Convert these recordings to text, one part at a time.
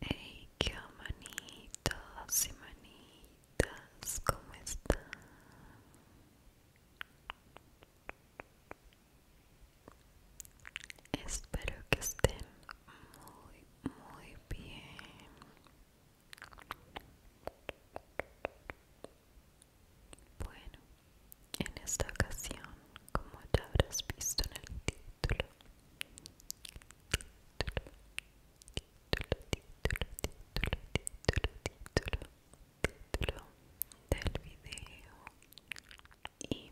Hey, qué manitos y manitas, ¿cómo están? Espero que estén muy, muy bien. Bueno, en esta ocasión, como ya habrás visto en el título, título, título, título, título, título, título, título del video y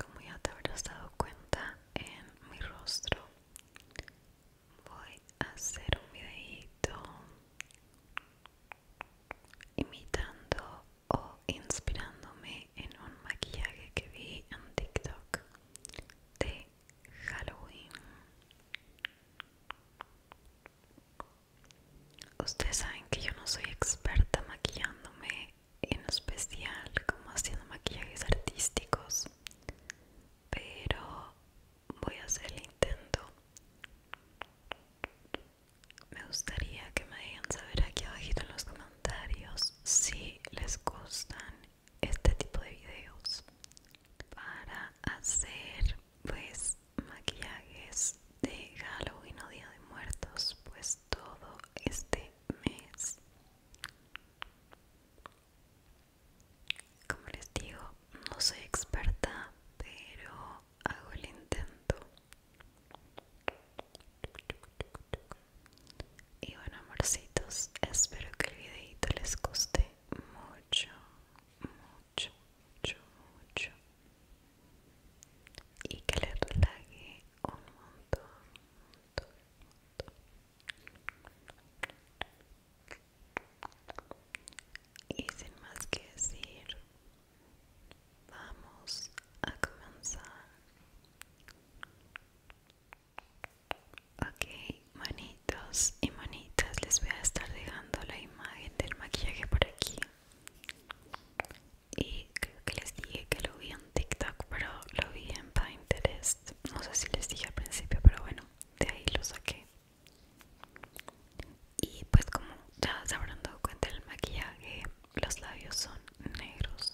como ya te habrás dado cuenta en mi rostro voy a hacer un videito imitando o inspirándome en un maquillaje que vi en TikTok de Halloween. Ustedes saben que yo no soy experta maquillándome en especial como haciendo maquillajes artísticos, pero voy a hacer el intento me gustaría que me digan saber aquí abajito en los comentarios si les gustan este tipo de videos para hacer pues maquillajes de Halloween o Día de Muertos pues todo este mes como les digo no soy experta pero hago el intento y bueno amorcitos espero que el videito les guste mucho mucho mucho mucho y que les relaje un montón. y sin más que decir Vamos a comenzar. Ok, manitos y manitas, les voy a estar dejando la imagen del maquillaje por aquí. Y creo que les dije que lo vi en TikTok, pero lo vi en Pinterest. No sé si les dije al principio, pero bueno, de ahí lo saqué y pues como ya se habrán dado cuenta el maquillaje los labios son negros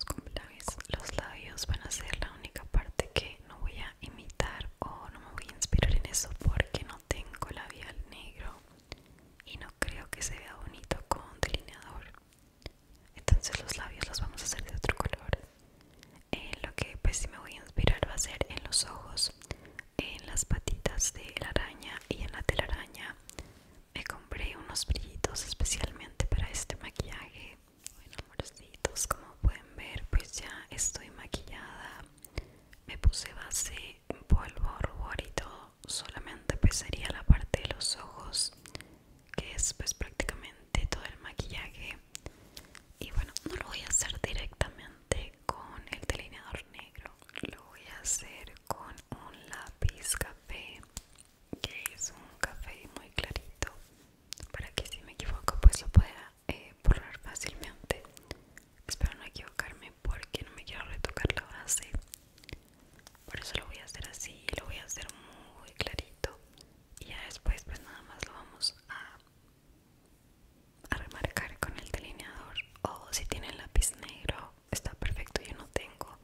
los labios van a ser la única parte que no voy a imitar o no me voy a inspirar en eso porque no tengo labial negro y no creo que se vea bonito con delineador entonces los labios los vamos a hacer de otro color eh, lo que pues sí me voy a inspirar va a ser en los ojos en las patitas de la araña y en la telaraña me compré unos brillitos especialmente para este maquillaje bueno amorcitos como pueden ver pues ya estoy maquillada me puse base polvo rubor y todo solamente pues sería la parte de los ojos que es pues prácticamente todo el maquillaje y bueno no lo voy a hacer directamente con el delineador negro lo voy a hacer con un lápiz café que es un café muy clarito para que si me equivoco pues lo pueda eh, borrar fácilmente espero no equivocarme porque no me quiero retocar la base por eso lo voy a hacer así lo voy a hacer muy clarito y ya después pues nada más lo vamos a a remarcar con el delineador o si tienen lápiz negro está perfecto yo no tengo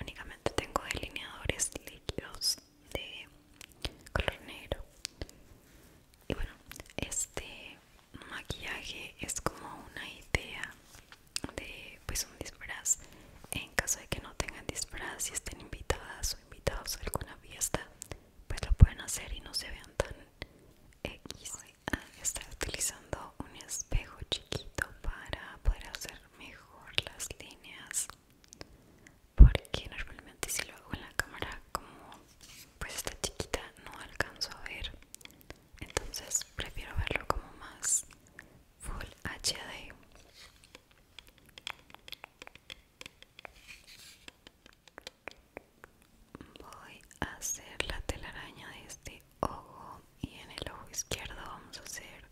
únicamente tengo delineadores líquidos de color negro y bueno este maquillaje es como una idea de pues un disfraz en caso de que no tengan disfraz y estén invitadas o invitados a alguna fiesta pues lo pueden hacer y no se vean tan X estar utilizando un espejo chiquito para poder hacer mejor las líneas porque normalmente si lo hago en la cámara como pues está chiquita no alcanzo a ver entonces prefiero verlo como más full HD voy a hacer la telaraña de este ojo y en el ojo izquierdo vamos a hacer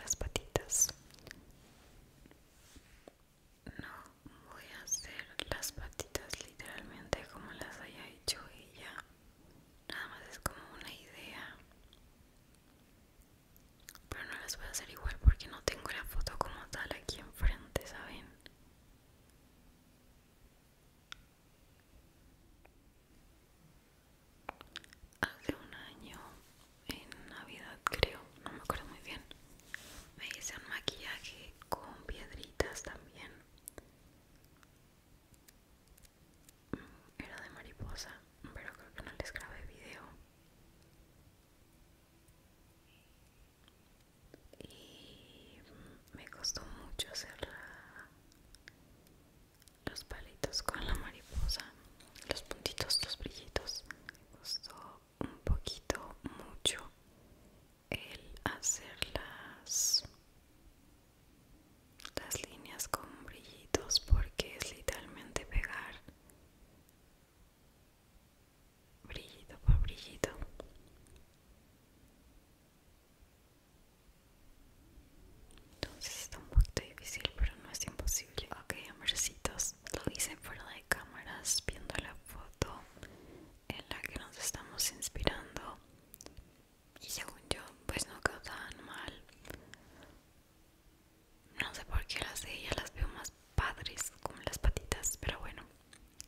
las patitas no voy a hacer las patitas literalmente como las haya hecho ella nada más es como una idea pero no las voy a hacer igual porque no tengo la foto como tal aquí enfrente saben Hace un año, en Navidad creo, no me acuerdo muy bien, me hice un maquillaje con piedritas también. Mm, era de mariposa, pero creo que no les grabé video y me costó mucho hacer los palitos con la mariposa los puntitos los brillitos me costó un poquito mucho el hacer las líneas con brillitos porque es literalmente pegar brillito por brillito. Entonces está un poquito difícil, pero no es imposible. Ok, amorcitos, lo hice fuera de cámaras, viendo la foto en la que nos estamos inspirando. Y según yo, pues no quedan mal. No sé por qué las de ella las veo más padres, como las patitas, pero bueno.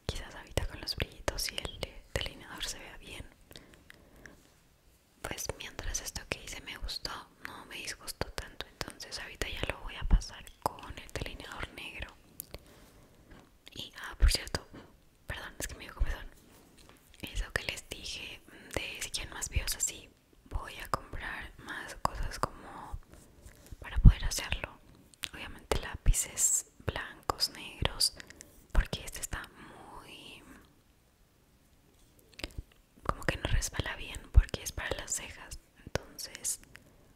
Quizás ahorita con los brillitos y el delineador se vea bien. Pues mientras esto que hice me gustó, no me disgustó tanto, entonces ahorita ya lo voy a pasar con el delineador negro. Y, ah, por cierto, perdón, es que me dio comezón. Eso que les dije de si quieren más videos así, voy a comprar más cosas como para poder hacerlo obviamente lápices blancos, negros, porque este está muy... como que no resbala bien porque es para las cejas, entonces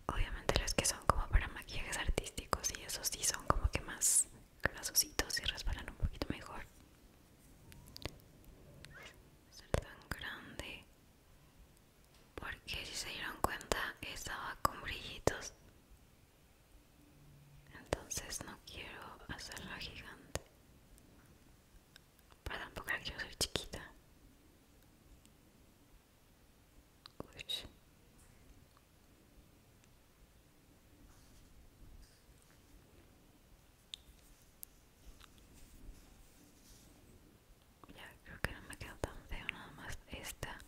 obviamente los que son como para maquillajes artísticos y esos sí son como que más grasositos y resbalan un poquito mejor. tan grande porque si se dieron cuenta estaba con brillitos entonces no quiero hacerla gigante pero tampoco la quiero ser chiquita Ya creo que no me quedó tan feo nada más esta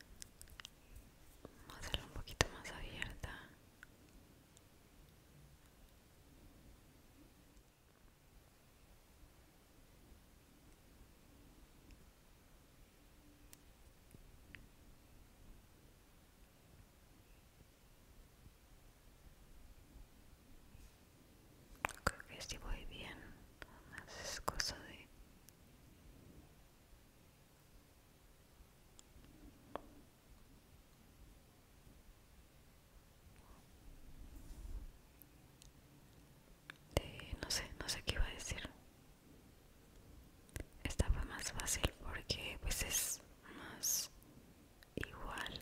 a hacerla un poquito más abierta. Creo que si voy bien, más es cosa de no sé, no sé qué iba a decir. Esta fue más fácil porque pues es más igual.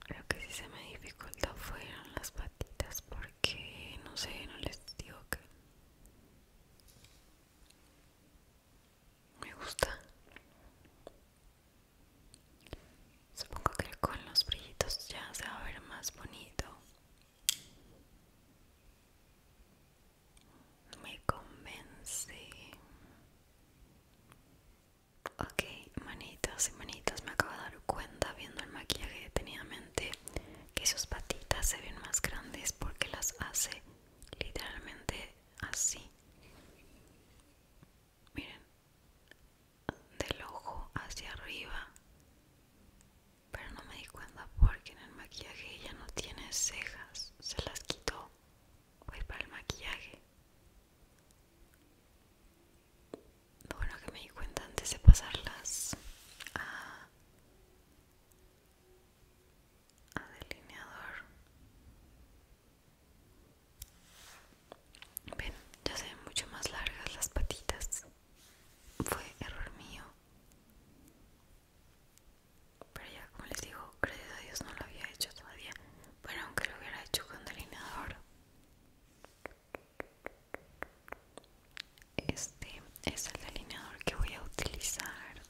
Creo que sí se me dificultó fueron las patitas porque no sé, no les digo que me gusta. Supongo que con los brillitos ya se va a ver más bonito. Me convence. Ok, manitas y manitas, me acabo de dar cuenta viendo el maquillaje detenidamente que sus patitas se ven más grandes porque las hace literalmente así. Miren, del ojo hacia arriba. Pero no me di cuenta porque en el maquillaje ella no tiene cejas. Se las quitó. Voy pues, para el maquillaje bueno que me di cuenta antes de pasarlas a, delineador ven ya se ven mucho más largas las patitas fue error mío pero ya como les digo gracias a Dios no lo había hecho todavía bueno aunque lo hubiera hecho con delineador este es el delineador que voy a utilizar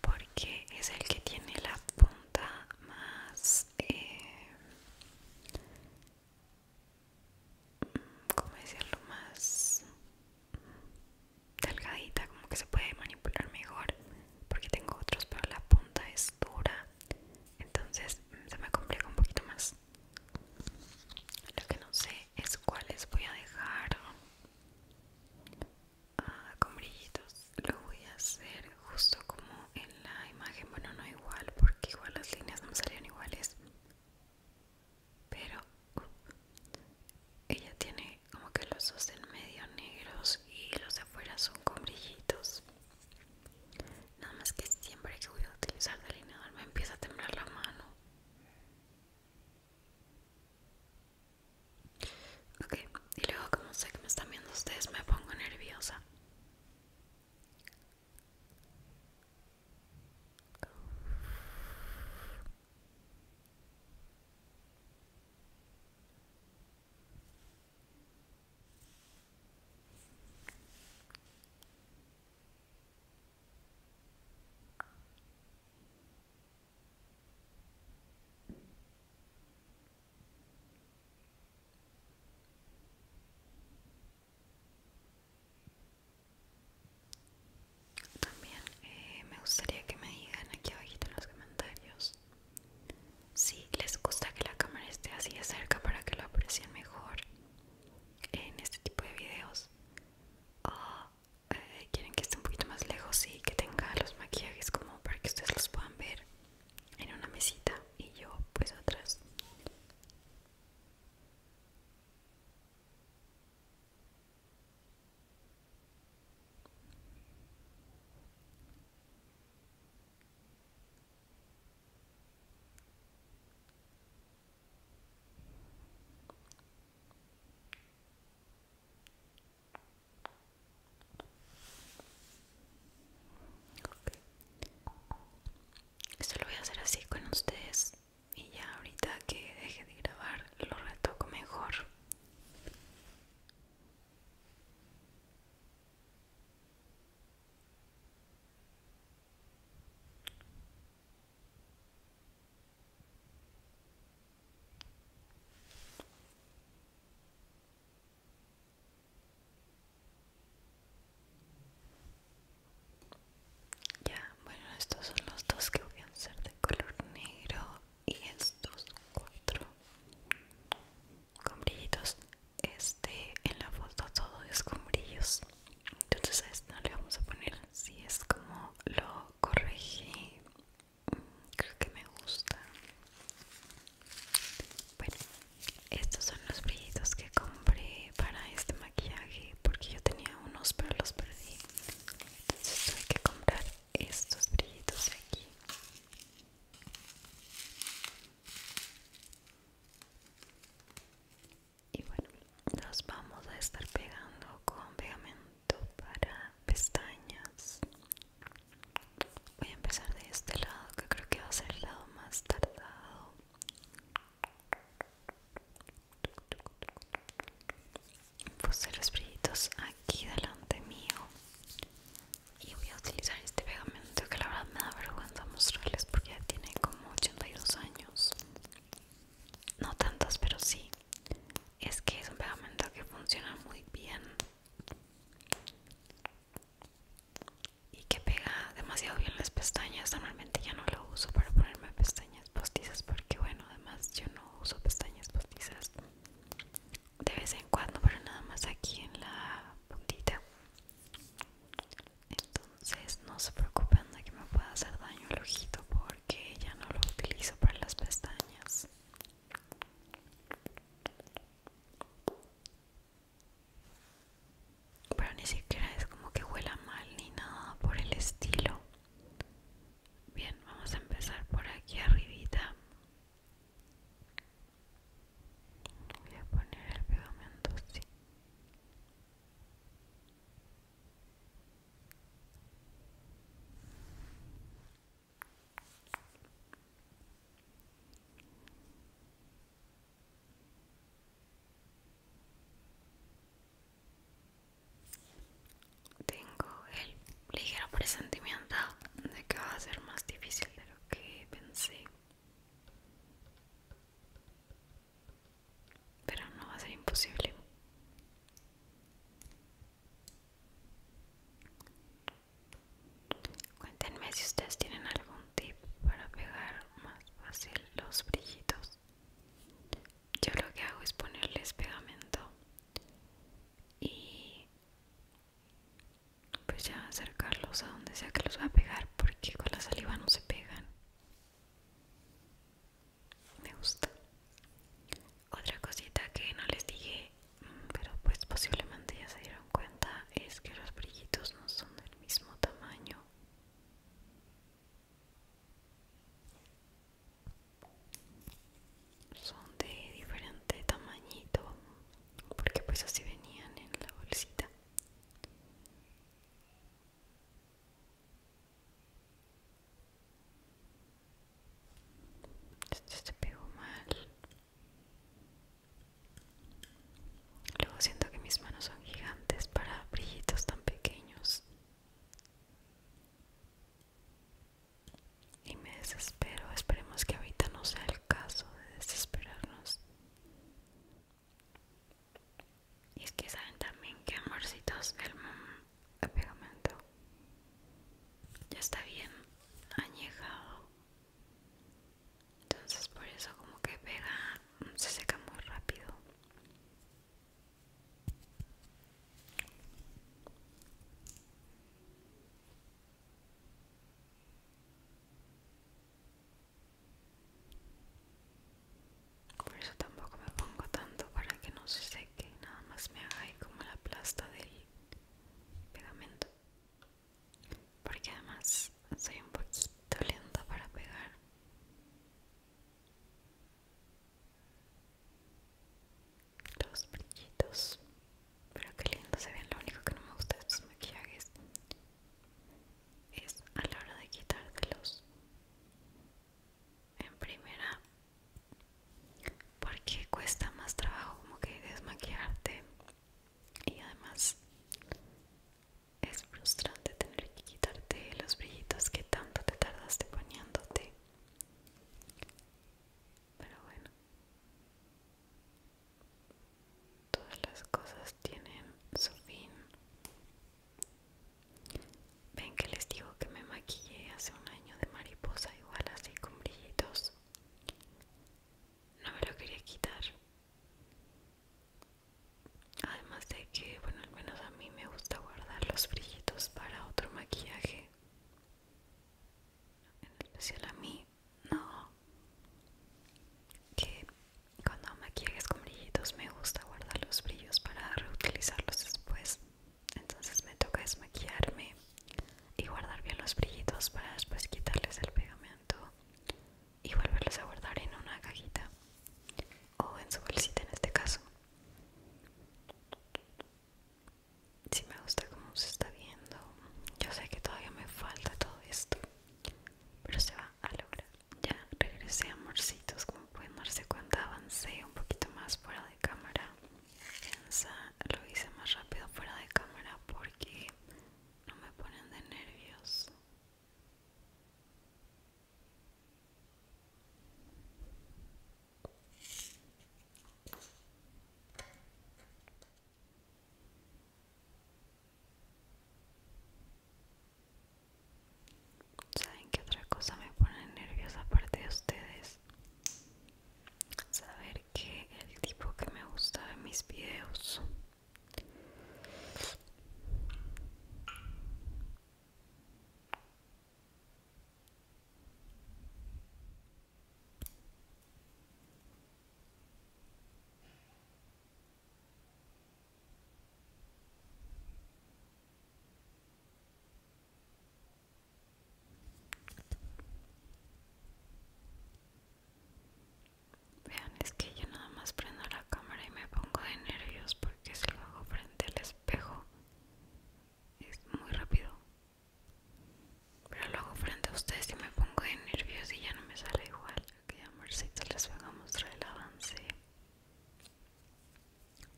porque es el que tiene la punta más eh, como decirlo más delgadita como que se puede manipular mejor porque tengo otros pero la punta es dura entonces se me complica un poquito más lo que no sé es cuáles voy a dejar ah, con brillitos lo voy a hacer justo como en la imagen bueno no igual porque igual las líneas no me iguales pero uh, ella tiene como que los dos en medio negros y los de afuera son con brillitos Nada más que siempre que voy a utilizar delineador me empieza a temblar la mano. Ok, y luego como sé que me están viendo ustedes me pongo nerviosa. También eh, me gustaría que me digan aquí abajito en los comentarios si les gusta que la cámara esté así de cerca para que lo aprecien mejor en este tipo de videos, o eh, quieren que esté un poquito más lejos y que tenga los maquillajes como para que ustedes los puedan ver en una mesita y yo pues atrás. Esto lo voy a hacer así con ustedes y ya ahorita que deje de grabar lo retoco mejor ya, bueno, estos son los dos que voy a hacer de color negro y estos cuatro con brillitos este en la foto todo es con brillos entonces a esto le vamos a poner si es como lo corregí mm, creo que me gusta bueno estos son los brillitos que compré para este maquillaje porque yo tenía unos pero los perdí entonces tuve que comprar estos brillitos aquí y bueno, nos vamos a estar pegando con pegamento para pestañas. Voy a empezar de este lado, que creo que va a ser el lado más tardado. Puse los brillitos aquí delante mío y voy a utilizar este pegamento que la verdad me da vergüenza mostrarles porque ya tiene como 82 años no tantos pero sí es que es un pegamento que funciona muy bien y que pega demasiado bien las pestañas normalmente ya no lo uso para ponerme pestañas postizas porque bueno además yo no uso pestañas postizas de vez en cuando, pero nada más aquí en la puntita. Entonces no se preocupen de que me pueda hacer daño el ojito porque ya no lo utilizo para las pestañas. Pero ni siquiera es como que huela mal ni nada por el estilo. Bien, vamos a empezar por aquí arribita. Voy a poner el pegamento así. Tengo el ligero presentimiento de que va a ser más difícil de lo que pensé. Pero no va a ser imposible. Cuéntenme si ustedes tienen algún tip para pegar más fácil los brillitos. Yo lo que hago es ponerles pegamento y pues ya acercarlos a donde sea que los va a pegar porque con la saliva no se pegan me gusta otra cosita que no les dije mm, pero pues posiblemente ya se dieron cuenta es que los brillitos no son del mismo tamaño son de diferente tamañito porque pues así venían en la bolsita este se pegó mal luego siento que mis manos son gigantes para brillitos tan pequeños y me desespero. Esperemos que ahorita no sea el caso de desesperarnos. Y es que saben también que amorcitos el, pegamento ya está bien añejado. Entonces por eso como que pega, se seca muy rápido. Por eso tampoco me pongo tanto para que no se seque, nada más me haga ahí como la plasta del pegamento. Porque además soy un poquito lenta para pegar los brillitos pero qué lindo se ven lo único que no me gusta de estos maquillajes es a la hora de quitarlos en primera porque cuesta más trabajo como que desmaquillarte y además es frustrante tener que quitarte los brillitos que tanto te tardaste poniéndote pero bueno Todas las cosas tienen su fin. Ven que les digo que me maquillé hace un año de mariposa igual así con brillitos. No me lo quería quitar. Además de que, bueno, al menos a mí me gusta guardar los brillitos para otro maquillaje en especial a mí, no. Que cuando me con brillitos me gusta guardar los brillos para reutilizarlos después. Entonces me toca desmaquillarme y guardar bien los brillitos para después quitarles el pegamento y volverlos a guardar en una cajita o en su bolsita en este caso si me gusta como se está viendo yo sé que todavía me falta todo esto pero se va a lograr ya regresé amorcitos como pueden darse cuenta avancé un poquito más fuera de cámara lo hice más rápido fuera de cámara porque no me ponen de nervios ¿Saben que otra cosa me pone nerviosa aparte de ustedes? Saber que el tipo que me gusta de mis videos Vean, es que yo nada más prendo la cámara y me pongo de nervios porque si lo hago frente al espejo es muy rápido pero luego hago frente a ustedes y me pongo de nervios y ya no me sale igual. Ok, amorcito, les voy a mostrar el avance.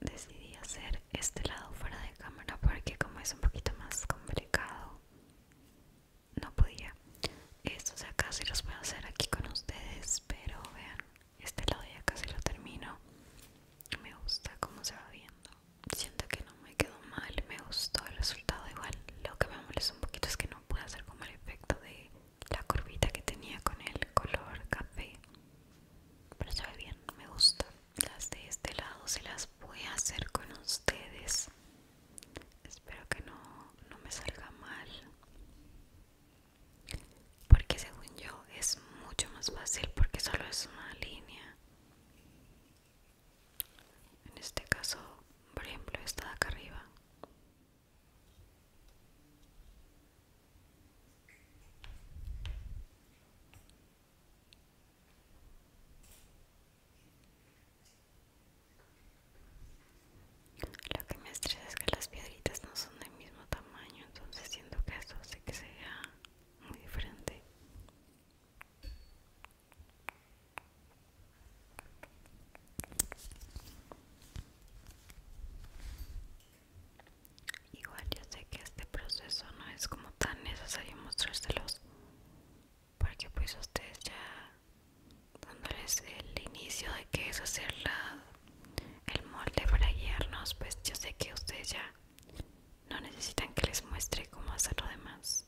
Decidí hacer este lado fuera de cámara porque como es un poquito más complicado, no podía. Estos acá los voy a hacer aquí con ustedes, pero vean, este lado ya casi lo termino. Me gusta cómo se va viendo siento que no me quedó mal, me gustó el resultado igual. Lo que me molesta un poquito es que no pude hacer como el efecto de la curvita que tenía con el color café. Pero se ve bien, me gusta. Las de este lado se las voy a hacer con ustedes. Espero que no, no me salga mal. Porque según yo es mucho más fácil porque solo es una línea en este caso, por ejemplo, esta de acá arriba. Lo que me estresa es que las piedritas no son del mismo tamaño, entonces siento que eso hace que sea muy diferente igual yo sé que este proceso no es como tan necesario mostrárselos porque pues ustedes ya dándoles el inicio de que es hacer la, el molde para guiarnos pues yo sé que ustedes ya no necesitan que les muestre cómo hacer lo demás.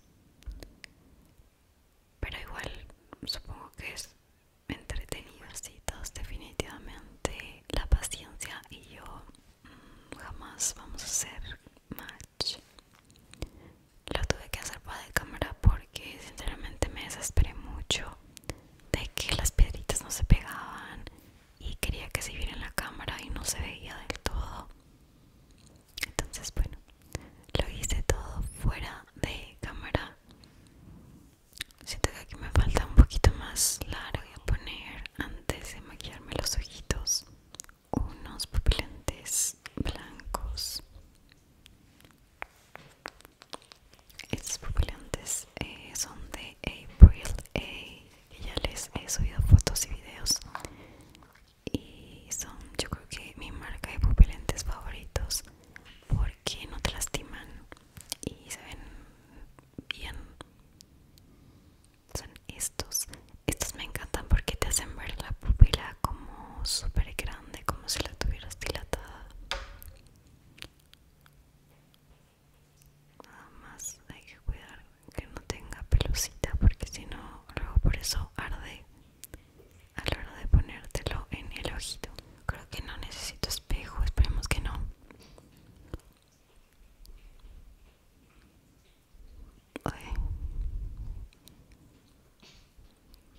Pero igual supongo que es entretenido, sí, definitivamente la paciencia y yo mm, jamás vamos a hacer match. Lo tuve que hacer para de cámara porque sinceramente me desesperé mucho de que las piedritas no se pegaban y quería que se viera en la cámara y no se veía del todo entonces bueno lo hice todo fuera de cámara siento que aquí me falta un poquito más largo voy a poner antes de maquillarme los ojitos unos pupilentes blancos estos pupilantes eh, son de April A ya les he subido fotos y videos y son yo creo que mi marca de pupilentes favoritos porque no te lastiman y se ven bien son estos estos me encantan porque te hacen ver la pupila como súper grande como si la tuvieras dilatada nada más hay que cuidar que no tenga pelucita porque si no luego por eso arde a la hora de ponértelo en el ojito creo que no necesito espejo esperemos que no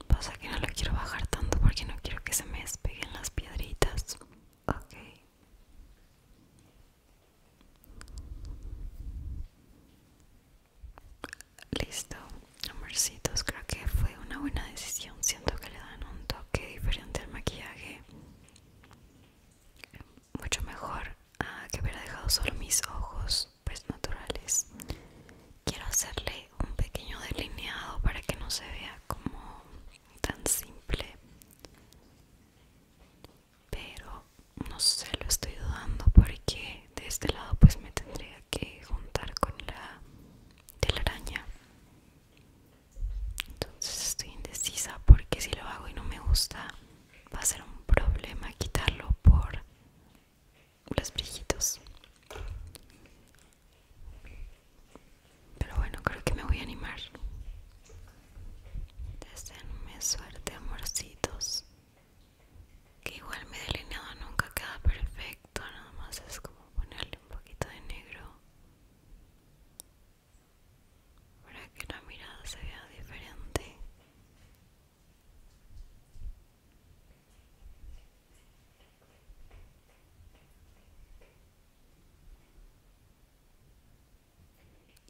pasa que no lo quiero bajar tanto porque no quiero que se me despeguen las piedritas ok Listo, amorcitos, creo que fue una buena decisión. Siento que le dan un toque diferente al maquillaje. Mucho mejor ah, que haber dejado solo mis ojos, pues naturales. Quiero hacerle un pequeño delineado para que no se vea como tan simple pero no sé lo estoy dudando porque de este lado pues me tendría que juntar con la la araña entonces estoy indecisa porque si lo hago y no me gusta va a ser un problema quitarlo por los brillitos pero bueno, creo que me voy a animar. Deseenme suerte, amorcitos. Que igual mi delineado nunca queda perfecto, nada más es como ponerle un poquito de negro para que la mirada se vea diferente.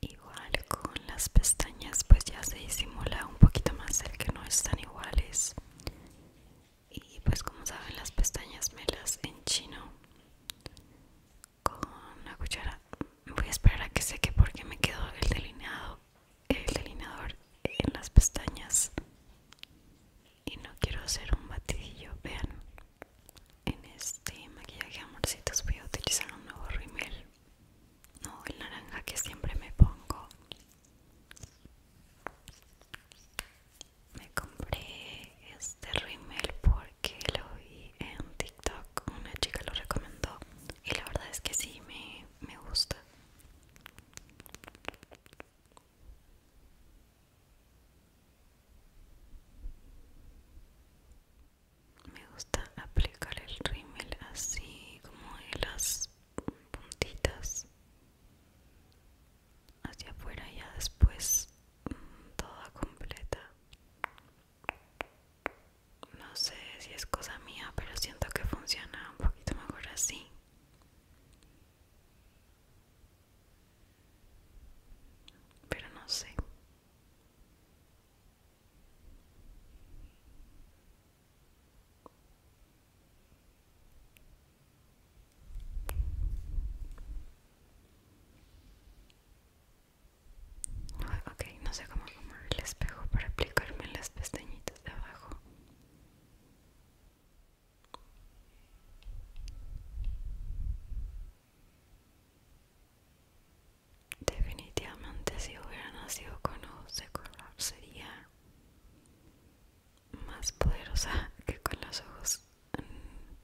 Igual con las pestañas pues ya se disimula un poquito más el que no están iguales y pues como saben las pestañas me las enchino con una cuchara voy a esperar a que seque porque me quedó el delineado el delineador en las pestañas y no quiero hacer un batidillo vean en este maquillaje amorcitos voy a utilizar un nuevo rímel no el naranja que siempre me pongo me compré este rímel porque lo vi en tiktok una chica lo recomendó y la verdad es que sí me gusta me gusta aplicar el rímel así como en las puntitas hacia afuera y ya después mm, toda completa. No sé si es cosa mía, pero siento que funciona un poquito mejor así. Pero no sé. Ok, no sé cómo tomar el espejo para aplicarme las pestañitas de abajo. Definitivamente si hubiera nacido con ojos de color sería más poderosa que con los ojos mm,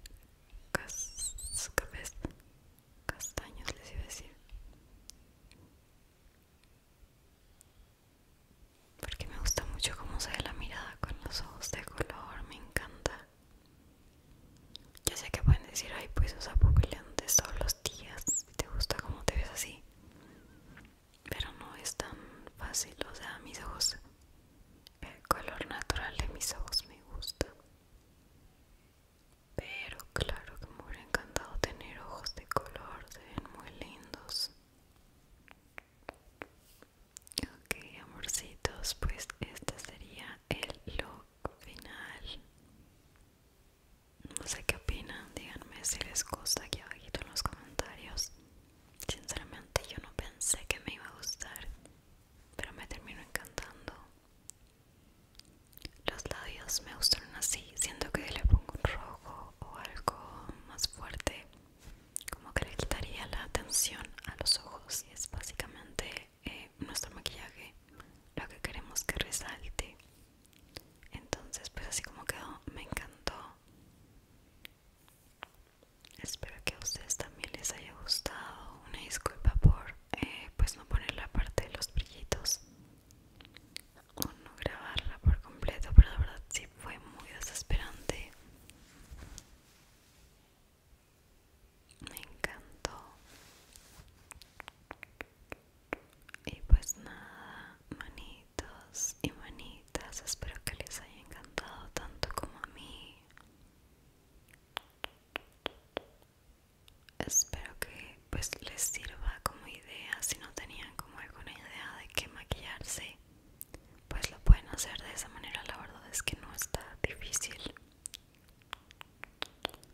castaños les iba a decir. Porque me gusta mucho cómo se ve la mirada con los ojos de color, me encanta. Ya sé que pueden decir, ay, pues, esos sea, todos los días, si te gusta como te ves así. Pero no es tan fácil, o sea, mis ojos, el color natural de mis ojos me gusta. Pero claro que me hubiera encantado tener ojos de color, se ven muy lindos. Ok, amorcitos, pues este sería el look final. No sé qué opinan, díganme si les gusta aquí abajito en los comentarios. Sinceramente yo no pensé que me iba a gustar, pero me terminó encantando. Los labios me gustaron así, siento que le pongo un rojo o algo más fuerte, como que le quitaría la atención a los ojos y es básicamente eh, nuestro maquillaje lo que queremos que resalte entonces pues así como quedó me encantó espero que a ustedes también les haya gustado una disculpa por eh, pues no poner la parte de los brillitos o no grabarla por completo pero la verdad sí fue muy desesperante me encantó y pues nada manitos y manitas espero que les haya encantado tanto como a mí espero que pues les sirva como idea si no tenían como alguna idea de qué maquillarse pues lo pueden hacer de esa manera la verdad es que no está difícil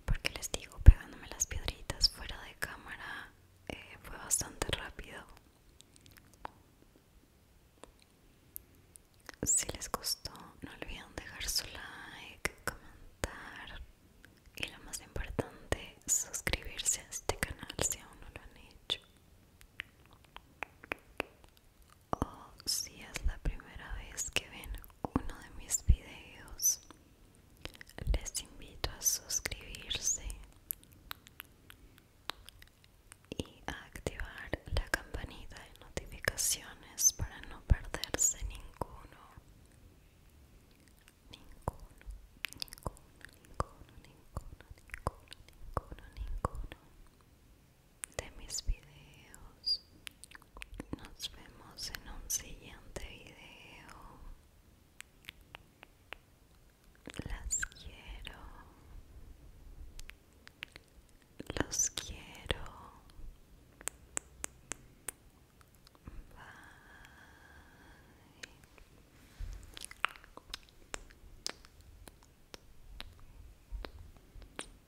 porque les digo pegándome las piedritas fuera de cámara eh, fue bastante rápido si les gustó no olviden dejar su like comentar y lo más importante suscribirse a este canal si aún no lo han hecho o oh, si es la primera vez que ven uno de mis videos, les invito a suscribirse y a activar la campanita de notificaciones para no perderse ninguno. Ninguno, ninguno, ninguno, ninguno, ninguno, ninguno, ninguno de mis videos. Nos vemos en un siguiente video. Las quiero. Los quiero.